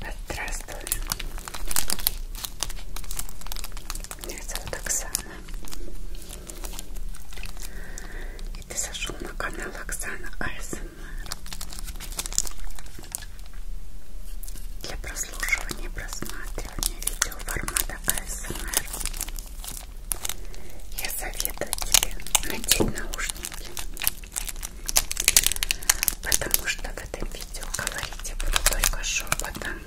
Здравствуй. Меня зовут Оксана. И ты зашел на канал Оксана АСМР для прослушивания и просматривания видео формата АСМР. Я советую тебе надеть наушники, потому что в этом видео говорить я буду только шепотом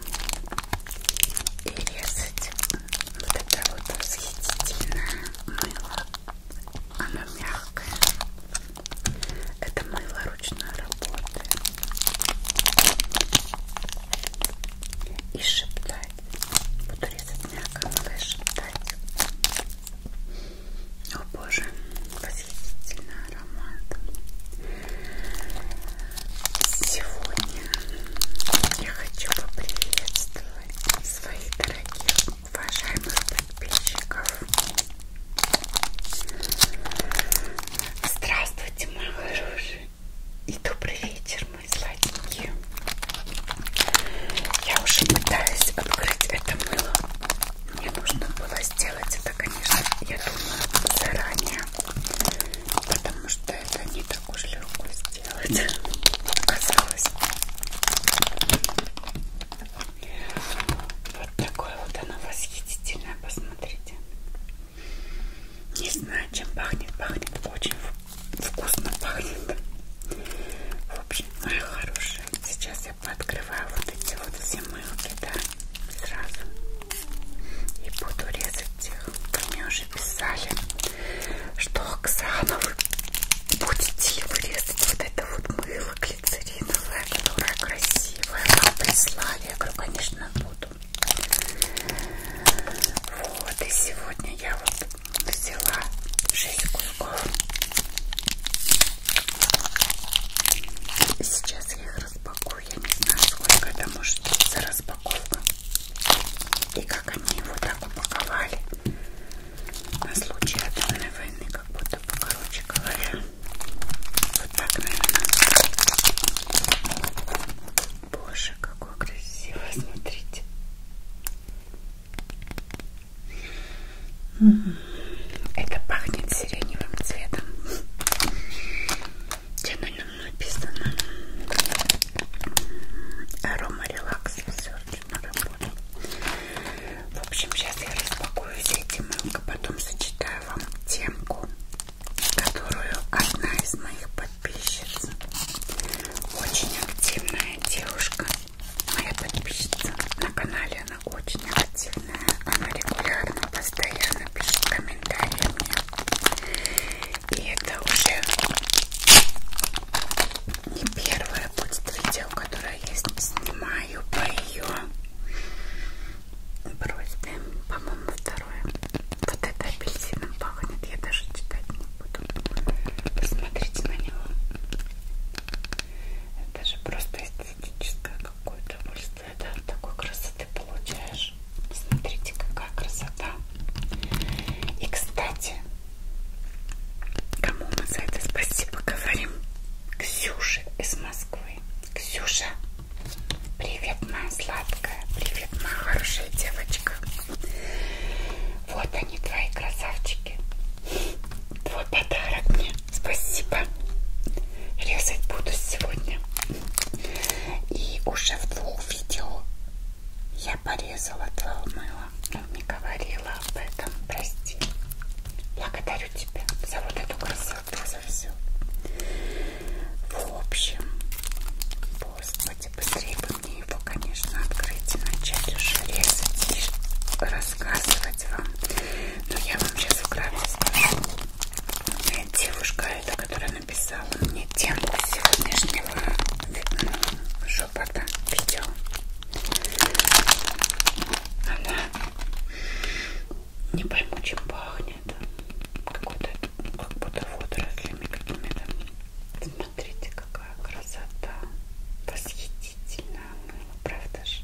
и резать вот это вот восхитительное мыло. Оно мягкое. Это мыло ручной работы. И шептать. Буду резать мягко малыш дать. О боже, восхитительный аромат. Сегодня я хочу поприветствовать своих дорогих, уважаемых подписчиков. Здравствуйте, мои хорошие, и добрый вечер, самые сладенькие. Я уже пытаюсь открыть это мыло. Мне нужно было сделать это, конечно, я думаю, заранее. Потому что это не так уж легко сделать, оказалось. Вот такое вот оно восхитительное, посмотрите. Не знаю, чем пахнет, пахнет очень вкусно вкусно пахнет. В общем, моя ну хорошая, сейчас я пооткрываю вот эти вот все мылки, да, сразу. И буду резать их. Вы мне уже писали, что Оксана, вы будете ли вы резать вот это вот мыло глицериновое, которое красивое. Вам прислали. Я говорю, конечно, буду. Вот, и сегодня я вот взяла 6 кульков. Сейчас я их распакую. Я не знаю, сколько это может быть за распаковка. И как они его так упаковали. На случай атомной войны, как будто бы, короче говоря. Вот так, наверное. Боже, какой красивый, смотрите. Это пахнет сиреневым цветом. Чем написано? Арома релакс. Все на работу. В общем, сейчас я распакую все эти мылки, потом сочетаю вам темку, которую одна из моих подписчиц. Очень активная девушка моя подписчица на канале, она очень активная, она регулярно, постоянно пишет комментарии мне. И это уже не первое будет видео, которое я снимаю по ее просьбе, по-моему, второе. Вот это апельсином пахнет, я даже читать не потом посмотрите на него. Это же просто эстетическое какое-то удовольствие, да, от такой красоты получаешь. Смотрите, какая красота. И, кстати, кому мы за это спасибо говорим? Ксюше из Москвы. Ксюша, привет, моя сладкая, привет, моя хорошая девочка. Вот они, твои красавчики. Твой подарок мне. Спасибо. Резать буду сегодня. И уже в двух видео я порезала твое мыло. Но ну, не говорила об этом. Прости. Благодарю тебя за вот эту красоту, за все. В общем, господи, быстрее бы мне его, конечно, открыть и начать уже резать и рассказывать вам. Но я вам сейчас вкратце скажу. Девушка эта, которая написала мне тему сегодняшнего шепота видео, она не пойму, чем пахнет. Какой-то, как будто водорослями какими-то. Смотрите, как какая красота. Восхитительно мыло, ну, правда же?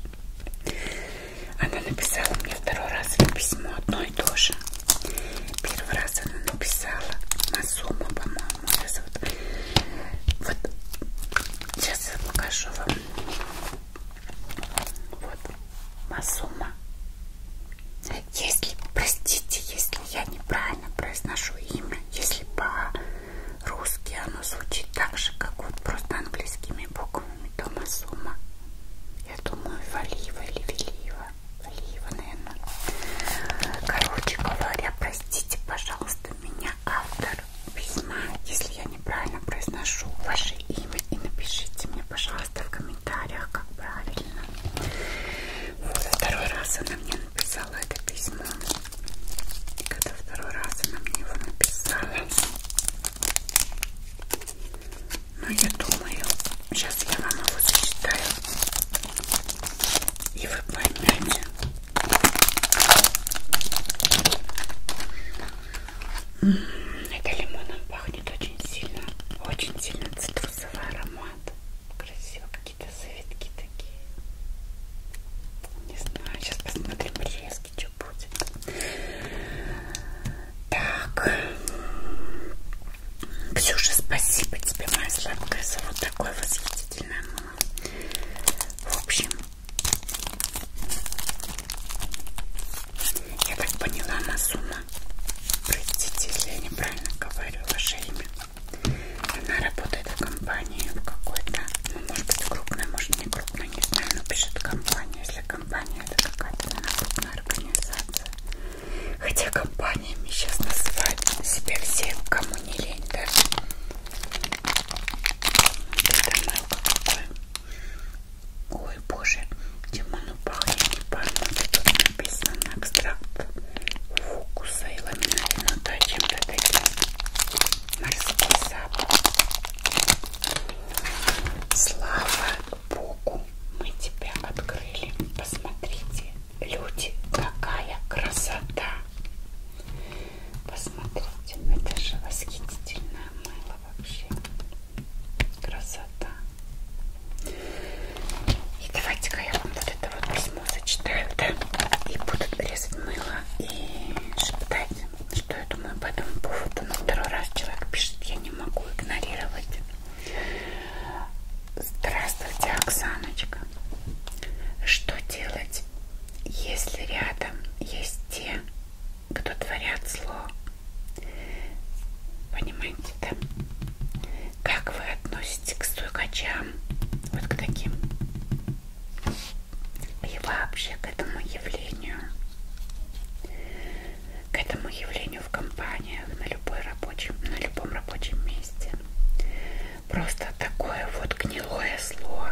Она написала мне второй раз это письмо одно и то же. Первый раз она написала Масума, по-моему, сейчас вот, вот сейчас я покажу вам. Вот Масума. Если, простите, если я неправильно произношу имя, если по русский оно звучит так же, как вот просто английскими буквами Тома Сума. Я думаю, Валиева или Велиева. Валиева, наверное. Короче говоря, простите, пожалуйста, меня автор письма, если я неправильно произношу ваше имя. И напишите мне, пожалуйста, в комментариях, как правильно. Во второй раз она мне написала это письмо. И когда второй раз она мне его написала. Ну, я думаю, сейчас я вам его зачитаю. И вы поймете. Это лимоном пахнет очень сильно. Очень сильно цитрусовый аромат. Красиво, какие-то завитки такие. Не знаю, сейчас посмотрим резки, что будет. Так. Ксюша, спасибо тебе, моя сладкая, за вот такой восхитительное мыло. В общем, я так поняла, Масума, простите, если я неправильно говорю ваше имя, она работает в компании в какой-то, ну, может быть крупной, может не крупной, не знаю, но пишет компания, если компания это какая-то крупная организация. Хотя компаниями сейчас называют себя все, кому не лень даже. Ой, боже, Димон упал, я не парну, тут написано экстракт фокуса и ламинарина, ну, то чем-то таким морский запах. Слава Богу, мы тебя открыли. Посмотрите, люди, какая красота! Посмотрите, это же восхитительное мыло вообще. Красота. И давайте-ка я вам вот это вот возьму письмо зачитают да? и будут резать мыло и шептать, что я думаю по этому поводу. Но второй раз человек пишет, я не могу игнорировать. Здравствуйте, Оксаночка. Что делать, если рядом есть те, кто творят зло? Понимаете, да? Как вы относитесь к стукачам? Вот к таким и вообще к этому явлению, к этому явлению в компаниях на любой рабочем, на любом рабочем месте. Просто такое вот гнилое зло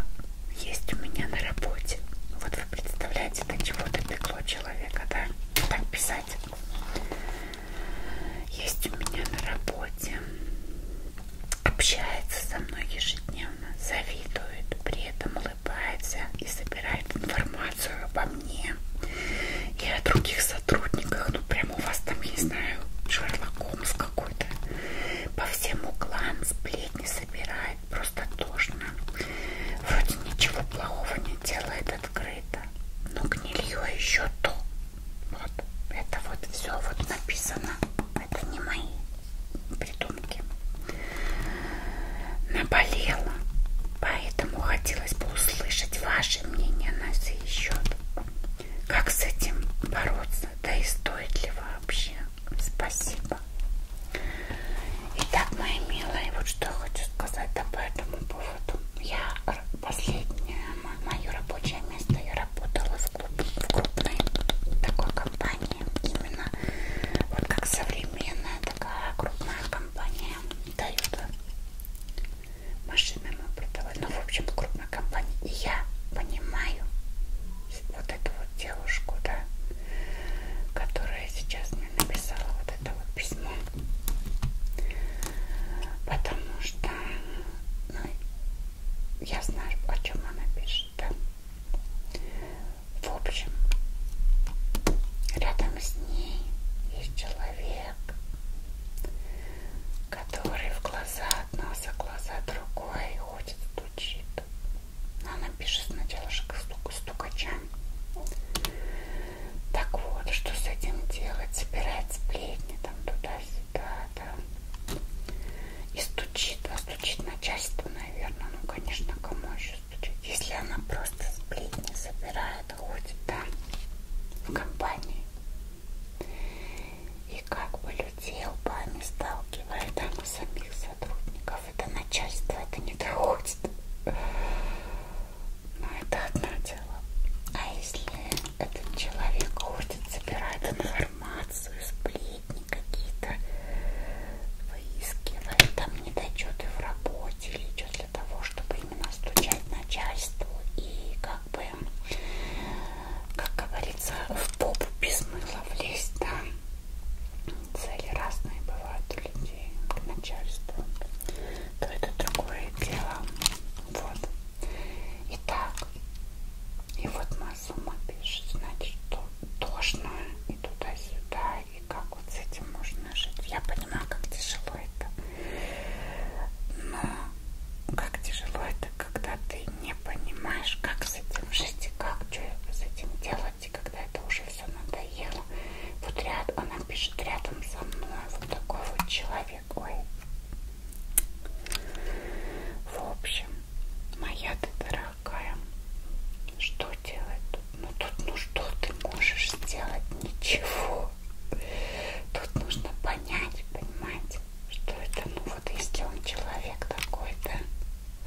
есть у меня на работе. Вот вы представляете, до чего допекло человека, да? Так писать. Есть у меня на работе общается со мной ежедневно, завидует, при этом улыбается и собирает информацию обо мне и о других сотрудниках. Ну, прям у вас там, я не знаю, Шерлок Холмс какой-то. По всем углам сплетни собирает, просто тошно. Вроде ничего плохого не делает открыто, но гнилье а еще то. Вот это вот все вот написано. Это не мои придумки. Наболела. Поэтому хотелось бы услышать ваше мнение на сей счет. Как с этим бороться? Да и стоит ли вообще? Спасибо. Итак, мои милые, вот что я хочу сказать да, по этому поводу. Я последнее мое рабочее место я работала в, клуб, в крупной такой компании. Именно вот как современная такая крупная компания дает машинам продавать. Ну, в общем, крупная компания. И я понимаю вот эту вот девушку, да, которая сейчас мне написала вот это вот письмо. Потому что ну, я знаю, о чем она пишет, да? В общем, рядом с ней есть человек, который в глаза от нас, а глаза другой ходит, стучит. Она пишет сначала стук, стукачам. Так вот, что с этим делать? Собирать сплетни там туда-сюда, да. И стучит, а стучит начальство, наверное. Ну, конечно, кому еще стучит? Если она просто сплетни собирает, ходит а там да, в компании. И как бы людей лбами сталкивает, там и самих сотрудников. Это начальство, это не доходит. Но это одно дело. А если этот человек ходит, собирает информацию, сплетни какие-то выискивает, там недочеты в работе или что для того, чтобы именно стучать начальству и как бы, как говорится, в попу без мыла влезть, да. Цели разные бывают у людей к начальству, то это другое дело. Вот. Итак, и вот мы сама пишет, значит, что тошно и туда-сюда, и как вот с этим можно жить. Я понимаю, как тяжело это. Но как тяжело это, когда ты не понимаешь, как с этим жить, и как что с этим делать, и когда это уже все надоело. Вот ряд, она пишет рядом со мной, вот такой вот человек. Ой. В общем, моя ты дорогая, что делать? Ну тут ну что ты можешь сделать? Ничего. Тут нужно понять, понимать, что это, ну вот если он человек такой-то,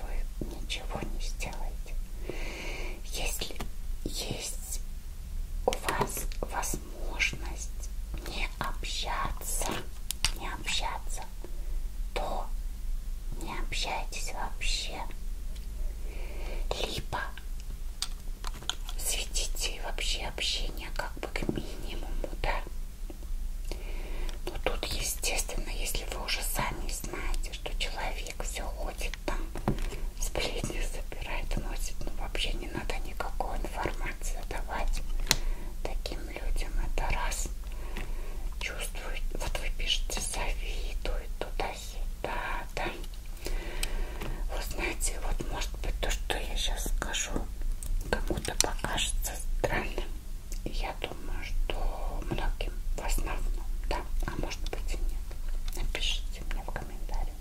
вы ничего не сделаете. Если есть у вас возможность не общаться, не общаться, то не общайтесь вообще. Либо сведите вообще общение как бы к минимуму, да. Но тут, естественно, если вы уже сами знаете, что человек все ходит там, сплетни забирает, носит, ну вообще не надо никакой информации давать таким людям это раз чувствует, вот вы пишете завидует туда-сюда, да. Вы знаете, вот может быть то, что я сейчас скажу, кому-то покажется странным. Я думаю, что многим в основном, да, а может быть и нет. Напишите мне в комментариях.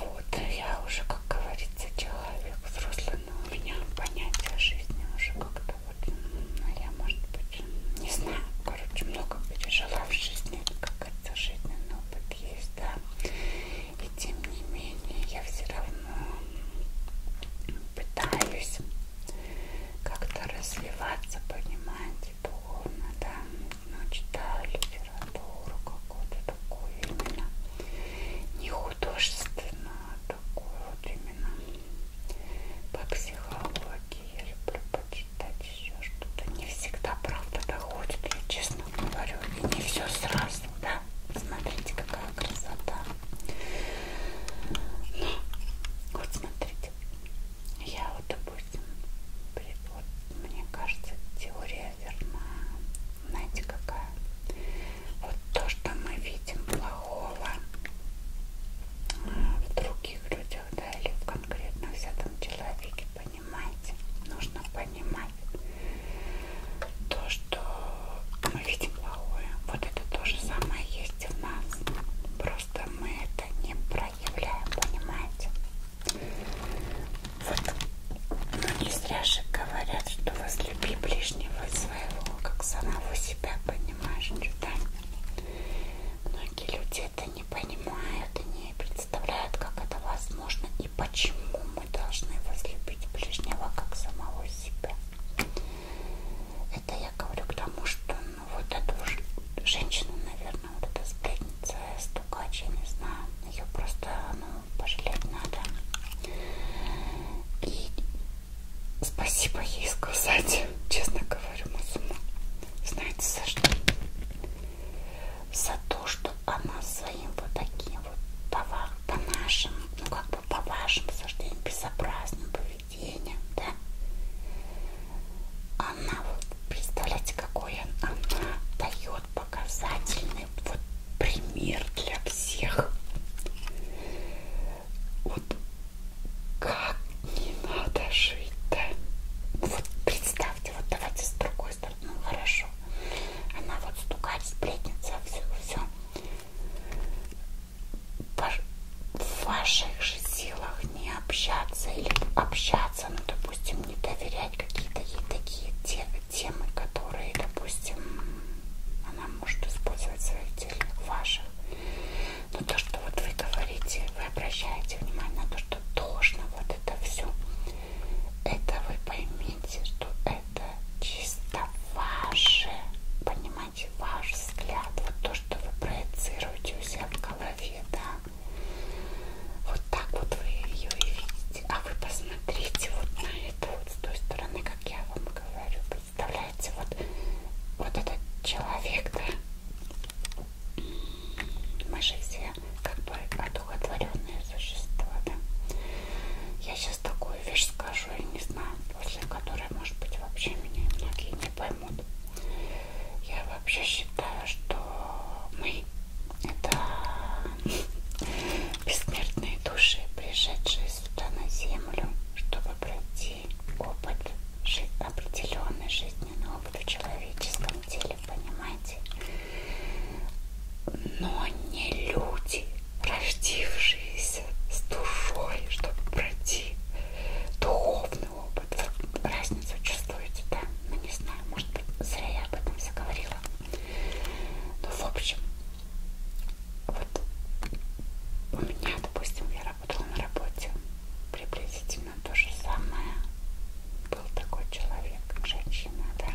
Вот, я уже, как говорится, становится человек взрослый, но у меня понятие жизни уже как-то вот, ну, я, может быть, не знаю, короче, много пережила в жизни, как это жизненный опыт есть, да, и тем не менее я все равно пытаюсь как-то развиваться, понимаете, духовно, да, ну, читаю литературу какую-то такое именно не художественно, а такое вот именно по психологии. Я люблю почитать еще что-то. Не всегда правда доходит, я честно говорю, и не все сразу, да? Смотрите, какая красота. Но, вот смотрите, я вот, допустим, вот мне кажется, теория верна. Знаете, какая? Вот то, что мы видим плохого э, в других людях, да, или в конкретно взятом человеке, понимаете? Нужно понимать то, что мы видим плохое. Вот это то же самое есть и в нас. Просто мы это не проявляем, понимаете? Вот. Но не зря же говорят, что возлюби ближнего своего, как самого себя понимаешь, чудами. Многие люди это не понимают и не представляют, как это возможно и почему мы должны возлюбить ближнего, как самого себя. Это я говорю к тому, что ну, вот эту ж... женщину, наверное, вот эта сплетница, стукач, я не знаю, ее просто, ну, пожалеть надо. И спасибо ей сказать, честно говорю, Мазума. Знаете, за что? За то, что она своим вот таким вот по, по нашим, ну как бы по вашим суждениям, безобразным поведением, да? Она вот, представляете, какой она, она дает вот показательный вот пример для всех. Вот как не надо жить-то. Вот представьте, вот давайте с другой стороны, ну хорошо. Она вот стукает, сплетница, все, все. В ваших же силах не общаться или общаться, ну допустим, не доверять какие-то ей такие темы темы, которые, допустим, она может использовать в своих целях ваших. Но то, что вот вы говорите, вы обращаете внимание на то, что должно вот это все, это вы поймите, что это чисто ваше, понимаете, ваш взгляд, вот то, что вы проецируете у себя в голове, да. Вот так вот вы ее и видите. А вы посмотрите вот на это вот с той стороны, как я вам говорю, представляете, вот, вот этот человек, да, мы же все как бы одухотворенные существа, да. Я сейчас такую вещь скажу, я не знаю, после которой, может быть, вообще меня многие не поймут. Я вообще считаю, что мы это бессмертные души, пришедшие сюда на землю, чтобы пройти опыт, определенный жизненный опыт в человеческом теле, понимаете? Но не люди, рождившиеся с душой, чтобы пройти духовный опыт. Разницу чувствуете, да? Ну не знаю, может быть, зря я об этом заговорила. Ну, в общем, вот у меня, допустим, я работала на работе, приблизительно то же самое. Был такой человек, женщина, да.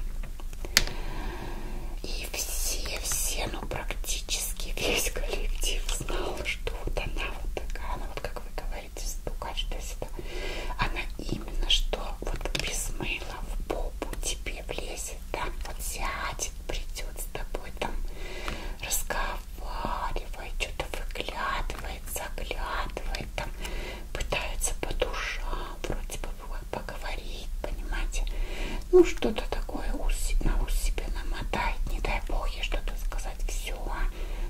И все, все, ну практически весь коллектив знал, что вот она вот такая, она вот как вы говорите, стукач, то есть это, она именно что вот без мыла в попу тебе влезет сядет там, вот сядет, придет с тобой там, разговаривает, что-то выглядывает, заглядывает там, пытается по душам вроде бы поговорить, понимаете, ну что-то такое на ус себе намотает, не дай бог ей что-то сказать, все,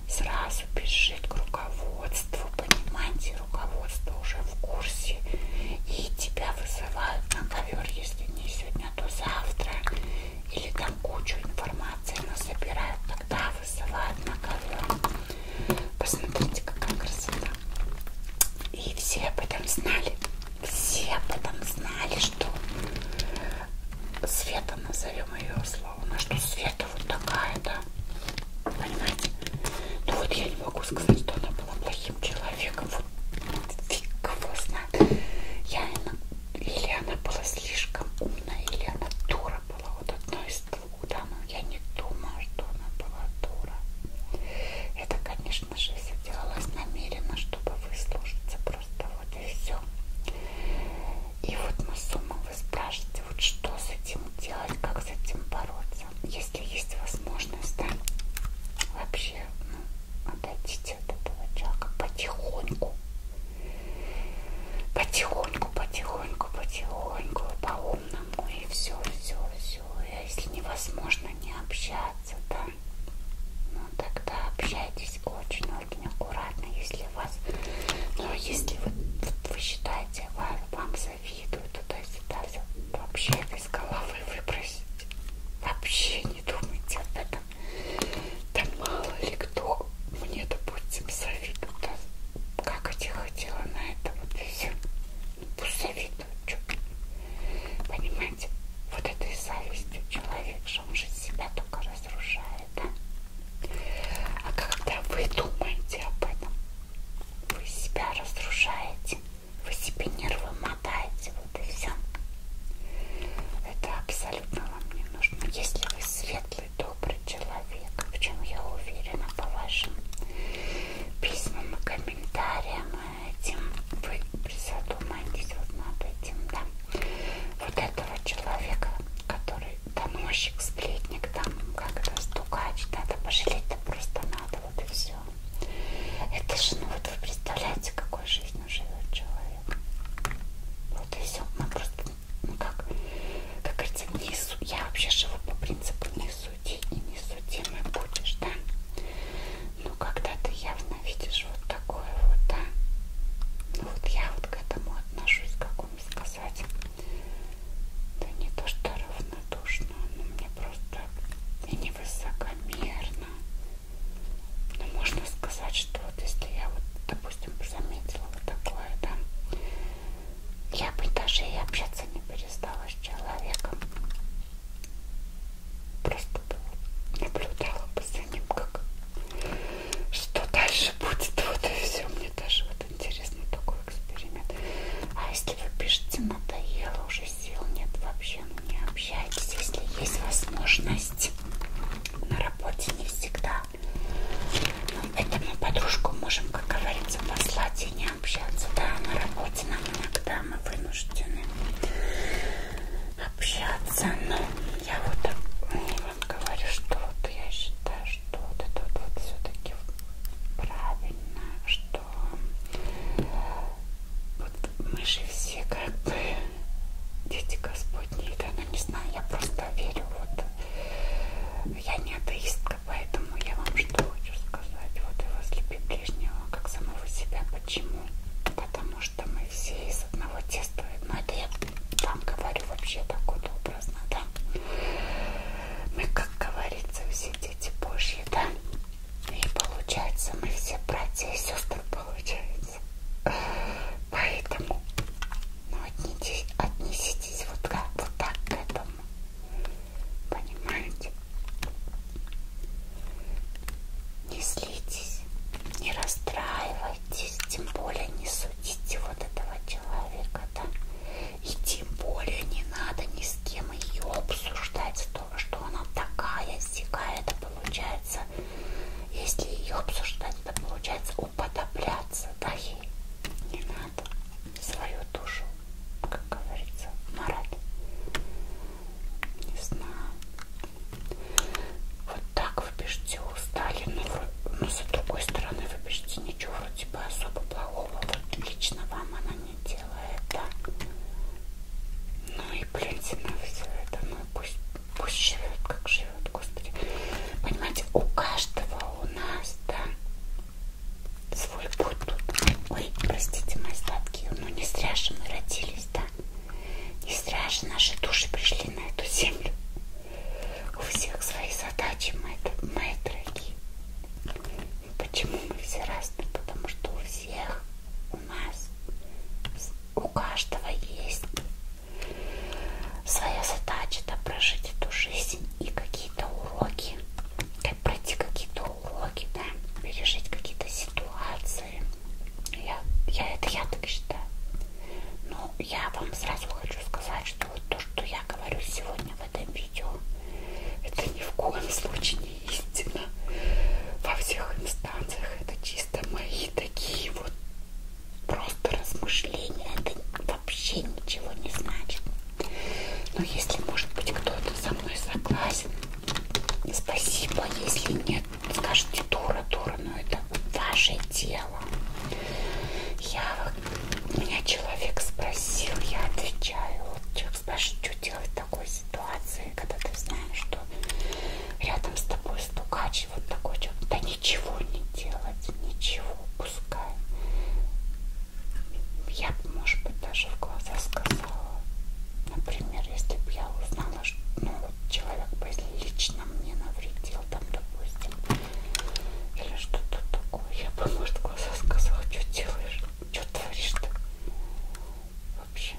сразу бежит к руководству, понимаете, и руководство уже в курсе, и тебя вызывают на ковер, если не сегодня, то завтра, или там кучу информации насобирают, тогда вызывают на ковер. Посмотрите, какая красота. И все об этом знали, все об этом знали, что Света, назовем ее словно, что Света вот такая, да, понимаете? Ну вот я не могу сказать, что она была плохим человеком. Вот фиг его знает. Я, или она была слишком умная, или она дура была. Вот одно из двух, да, но я не думаю, что она была дура. Это, конечно же, все делалось намеренно, чтобы выслужиться. Просто вот и все. И вот мы с умом вы спрашиваете, вот что с этим делать, как с этим бороться если есть возможность, да, вообще, ну, отойдите от этого человека потихоньку. Потихоньку, потихоньку, потихоньку, по-умному, и все, все, все. И а если невозможно не общаться, да, ну тогда общайтесь очень-очень аккуратно, если вас, ну, если вы, вы считаете, вам завидую туда-сюда. Вообще это из головы выбросить. Вообще не думайте об этом. Да мало ли кто мне, допустим, завидует. Да, как я хотела на это вот и все. Ну, пусть завидуют. Чё? Понимаете? Вот это и зависть человек, что он же себя только разрушает, да? А когда вы думаете об этом, вы себя разрушаете. Вы себе нервы мотаете, вот и все. Это абсолютно вам не нужно. Если вы светлый, добрый человек, в чем я уверена по вашим письмам и комментариям, этим вы призадумаетесь вот над этим, да. Вот этого человека, который доносчик, сплетник, там как-то стукач, надо пожалеть-то просто надо это вот и все. Это же, ну вот вы представляете, какой жизнью живет человек. Вот и все. Мы ну, просто, ну как, как говорится, не су... я вообще живу по принципу не суди и не судимый будешь, да? Ну когда ты явно видишь вот такое вот, да? Ну вот я вот к этому отношусь, как вам сказать. Да не то, что равнодушно, но мне просто... И не высокомерно. Но можно сказать, что вот если я вот, допустим, заметила вот такое, да, я бы даже и общаться не перестала с человеком. Просто наблюдала бы за ним, как что дальше будет. Вот и все. Мне даже вот интересно такой эксперимент. А из если вы пишете надоело, уже сил нет вообще, ну не общайтесь, если есть возможность. На работе не всегда. Но ну, это мы подружку можем, как говорится, послать и не общаться. Да, на работе нам иногда мы вынуждены общаться. Но я вот ну, вам говорю, что вот я считаю, что вот это вот, вот все-таки правильно, что что вот мы же все как бы дети Господни, да, ну не знаю, я просто верю, вот я не атеистка, поэтому я вам что хочу сказать, вот и возлюби ближнего, как самого себя, почему? Потому что мы все из одного теста, но ну, это я вам говорю вообще так вот образно, да? Мы, как говорится, все дети Божьи, да? И получается, мы все братья и сестры получается. Поэтому ну, отнеситесь, отнеситесь вот, как, вот так к этому. Понимаете? Не злитесь, не расстраивайтесь, тем более не судите вот этого человека, да? И тем более не надо ни с кем ее обсуждать, что что она такая всякая, это получается, если ее обсуждать, это получается уподобляться, да, ей не надо свою душу, как говорится, марать. Не знаю. Вот так вы пишете устали, но, вы, но с другой стороны вы пишете ничего вроде бы особо плохого. Вот лично вам она не делай это. Ну и плюньте на все это. Ну и пусть, пусть живет, как живет, Господи. Понимаете, у каждого у нас, да, свой путь тут. Ой, простите мои сладкие, ну не зря же мы родились, да. Не зря же наши души пришли на эту землю. У всех свои задачи, мои, мои дорогие. И почему мы все разные? Потому что у всех, у нас, у каждого есть своя задача да, прожить эту жизнь и какие-то уроки, как пройти какие-то уроки, да, пережить какие-то ситуации. Я, я это я так считаю. Но я вам сразу хочу сказать, что вот то, что я говорю сегодня в этом видео, это ни в коем случае не истина во всех инстанциях. Это чисто мои такие вот просто размышления. Это вообще ничего не значит. Но если, может быть, кто-то со мной согласен, спасибо. Если нет, скажите дура, дура, но ну это ваше дело. Я, меня человек спросил, я отвечаю. Вот там спрашивают, что делать в такой ситуации, когда ты знаешь, что рядом с тобой стукач, вот такой человек. Да ничего не делать, ничего, пускай. Я бы, может быть, даже в глаза сказала. Например, если бы я узнала, что ну, человек бы лично мне навредил, там, допустим, или что-то такое, я бы, может, в глаза сказала, что делаешь, что творишь-то вообще.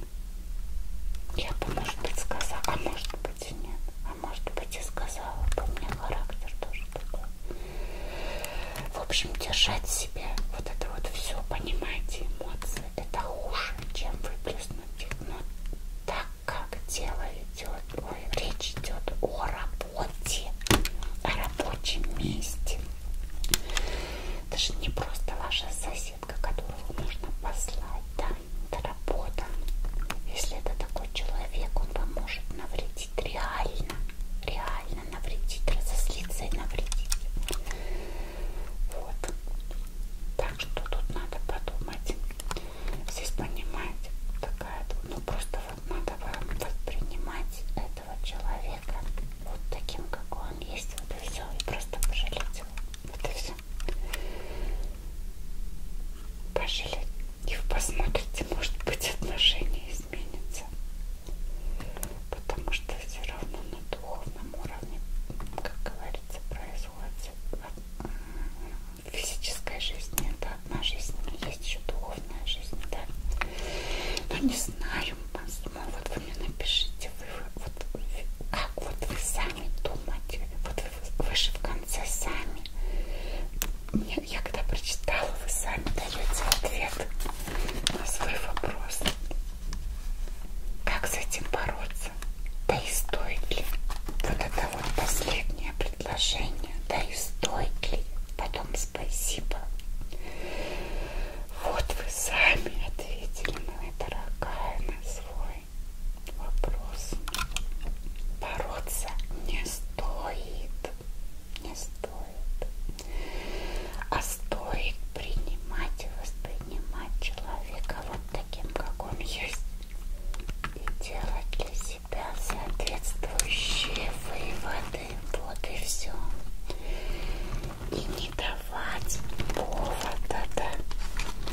Я бы, может быть, сказала, а может быть и нет. А может быть и сказала бы, у меня характер тоже такой. В общем, держать себя, вот это вот все, понимаете, эмоции, это хуже, чем выплеснуть их. Но так как дело идет, ой, речь идет о работе, о рабочем месте, это же не просто ваша соседка, которую можно послать, да, это работа. Если это такой человек, он вам может навредить реально, реально навредить, разозлиться и навредить. Вот. Так что тут надо подумать. Здесь понимать такая, ну просто вот надо вам воспринимать это этого человека вот таким, какой он есть, вот и все, и просто пожалеть его, вот и все. Пожалеть и посмотрите, может быть, отношения изменятся, потому что все равно на духовном уровне, как говорится, происходит в физической жизни, это одна жизнь, но есть еще духовная жизнь, да. Но не знаю, ему вот вы мне напишите, вы, вот, как вот вы сами думаете, вот вы, вы же в конце сами. Мне, я когда прочитала, вы сами даете ответ на свой вопрос. Как с этим бороться? Да и стоит ли? Вот это вот последнее предложение. Да и стоит ли? Потом спасибо. Вот вы сами ответили, моя дорогая, на свой вопрос. Бороться не стоит. Не стоит. А стоит принимать и воспринимать человека вот таким, как он есть. И делать для себя соответствующие выводы. Вот и все и не давать повода, да,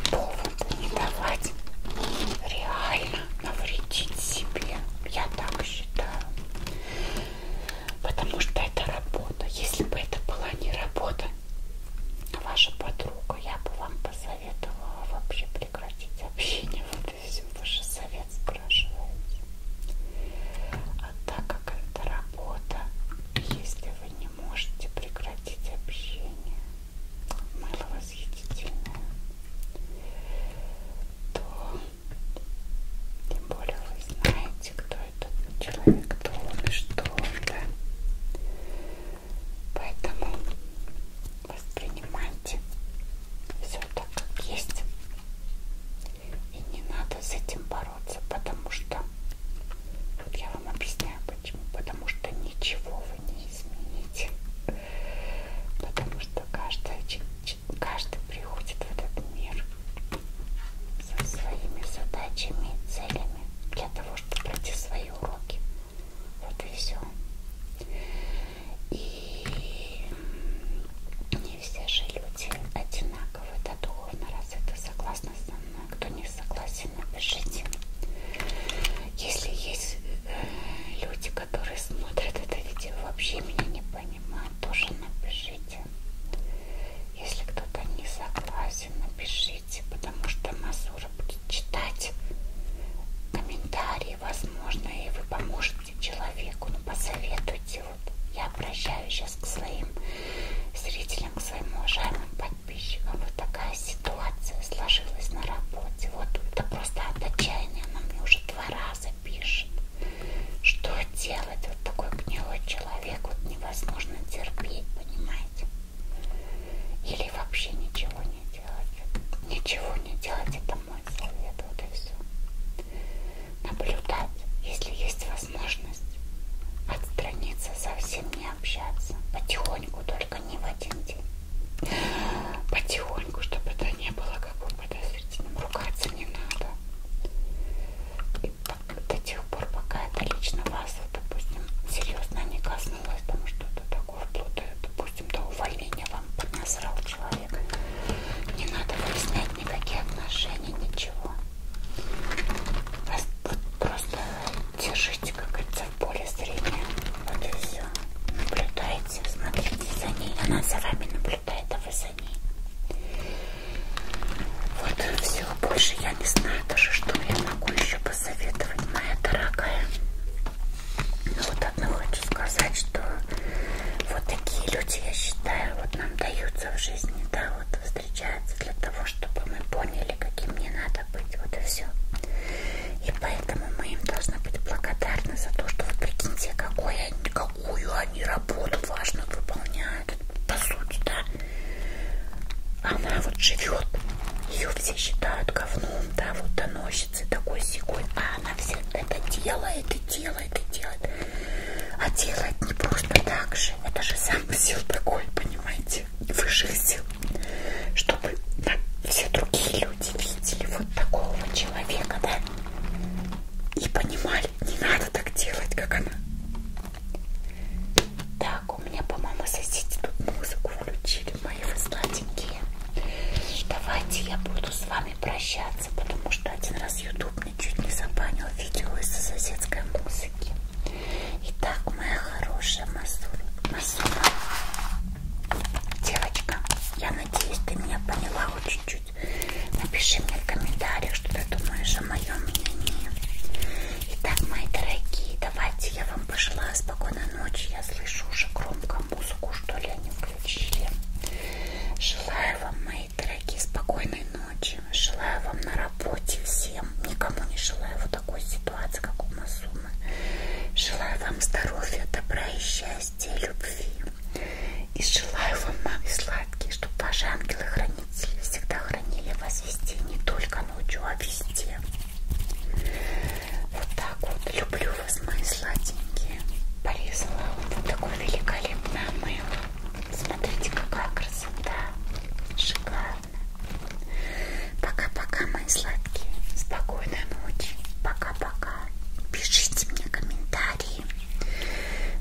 повода не давать реально навредить себе, я так считаю, потому что это работа. Если бы это была не работа, ваша подруга, я бы вам посоветовала вообще прекратить общение. Вот и все, вы же совет спрашиваете а так как это работа, если вы не можете прекратить общение, мыло восхитительное, то тем более вы знаете, кто этот человек, кто он и что он, да? Поэтому воспринимайте все так, как есть. И не надо с этим бороться, потому что, вот я вам объясняю почему, потому что ничего вы не измените. Потому что каждый, каждый приходит в этот мир со своими задачами и целями для того, чтобы пройти свои уроки. Вот и все. И не все же люди одинаковы, да, духовно с это согласны со мной. Кто не согласен, напишите. Если есть э, люди, которые смотрят это видео, вообще меня не понимают, тоже напишите. Если кто-то не согласен, напишите, потому что Мазура будет читать комментарии, возможно, и вы поможете человеку, ну посоветуйте такие вот. Я обращаюсь сейчас к своим зрителям, к своим уважаемым подписчикам. Вот такая ситуация сложилась на работе. Вот это просто от отчаяния она мне уже два раза пишет. Что делать? Вот такой гнилой человек вот невозможно терпеть, понимаете? Или вообще ничего не делать. Ничего не делать, это мой совет, вот и все наблюдать, если есть возможность, отстраниться, совсем не общаться, потихоньку, только не в один день, потихоньку, чтобы это не было как бы подозрительным, ругаться не надо, и до тех пор, пока это лично вас, допустим, серьезно не коснулось, потому что это такое вплоть, допустим, до увольнения вам поднасрал человек, не надо выяснять никакие отношения, ничего. Вас вот просто держите, как говорится, в поле зрения. Вот и все. Наблюдайте, смотрите за ней. Она за вами наблюдает, а вы за ней. Вот и все. Больше я не знаю даже, что я могу еще посоветовать, моя дорогая. Но ну, вот одно хочу сказать, что вот такие люди, я считаю, вот нам даются в жизни, да, вот встречается для того, чтобы мы поняли, каким мне надо быть. Вот и все. И поэтому мы им должны быть благодарны за то, что вы прикиньте, какой они, какую они работу важно выполняют. По сути, да. Она вот живет. Ее все считают говном, да, вот доносится такой секой. А она все это делает и делает и делает. А делать не просто так же. Это же сам сил такой, понимаете, высших сил. Чтобы да, все другие люди видели вот такого человека, да? И понимали, не надо так делать, как она. Так, у меня, по-моему, соседи тут музыку включили, мои вы сладенькие. Давайте я буду с вами прощаться, потому что один раз YouTube мне чуть не забанил видео из-за соседской музыки. Итак, моя хорошая Масура, девочка, я надеюсь, ты меня поняла хоть чуть-чуть. Напиши мне в комментариях, что ты думаешь о моем мнении. Итак, мои дорогие, давайте я вам пожелаю спокойной ночи. Я слышу уже громко музыку, что ли они включили. Желаю вам, мои мои дорогие, спокойной ночи. Желаю вам на работе всем. Никому не желаю вот такой ситуации, как у Масумы. Желаю вам здоровья, добра и счастья, любви. И желаю вам, мамы сладкие, чтобы ваши ангелы-хранители всегда хранили вас везде, не только ночью, а везде. Вот так вот. Люблю вас, мои сладенькие. Порезала вот такое великолепное мыло. Смотрите, какая красота. Шикарно. Пока-пока, мои сладкие. Спокойной ночи. Пока-пока. Пишите мне комментарии.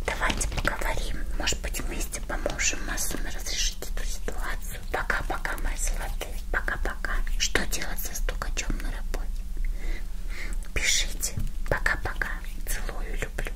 Давайте поговорим. Может быть, вместе поможем массами разрешить эту ситуацию. Пока-пока, мои золотые. Пока-пока. Что делать со стукачом на работе? Пишите. Пока-пока. Целую, люблю.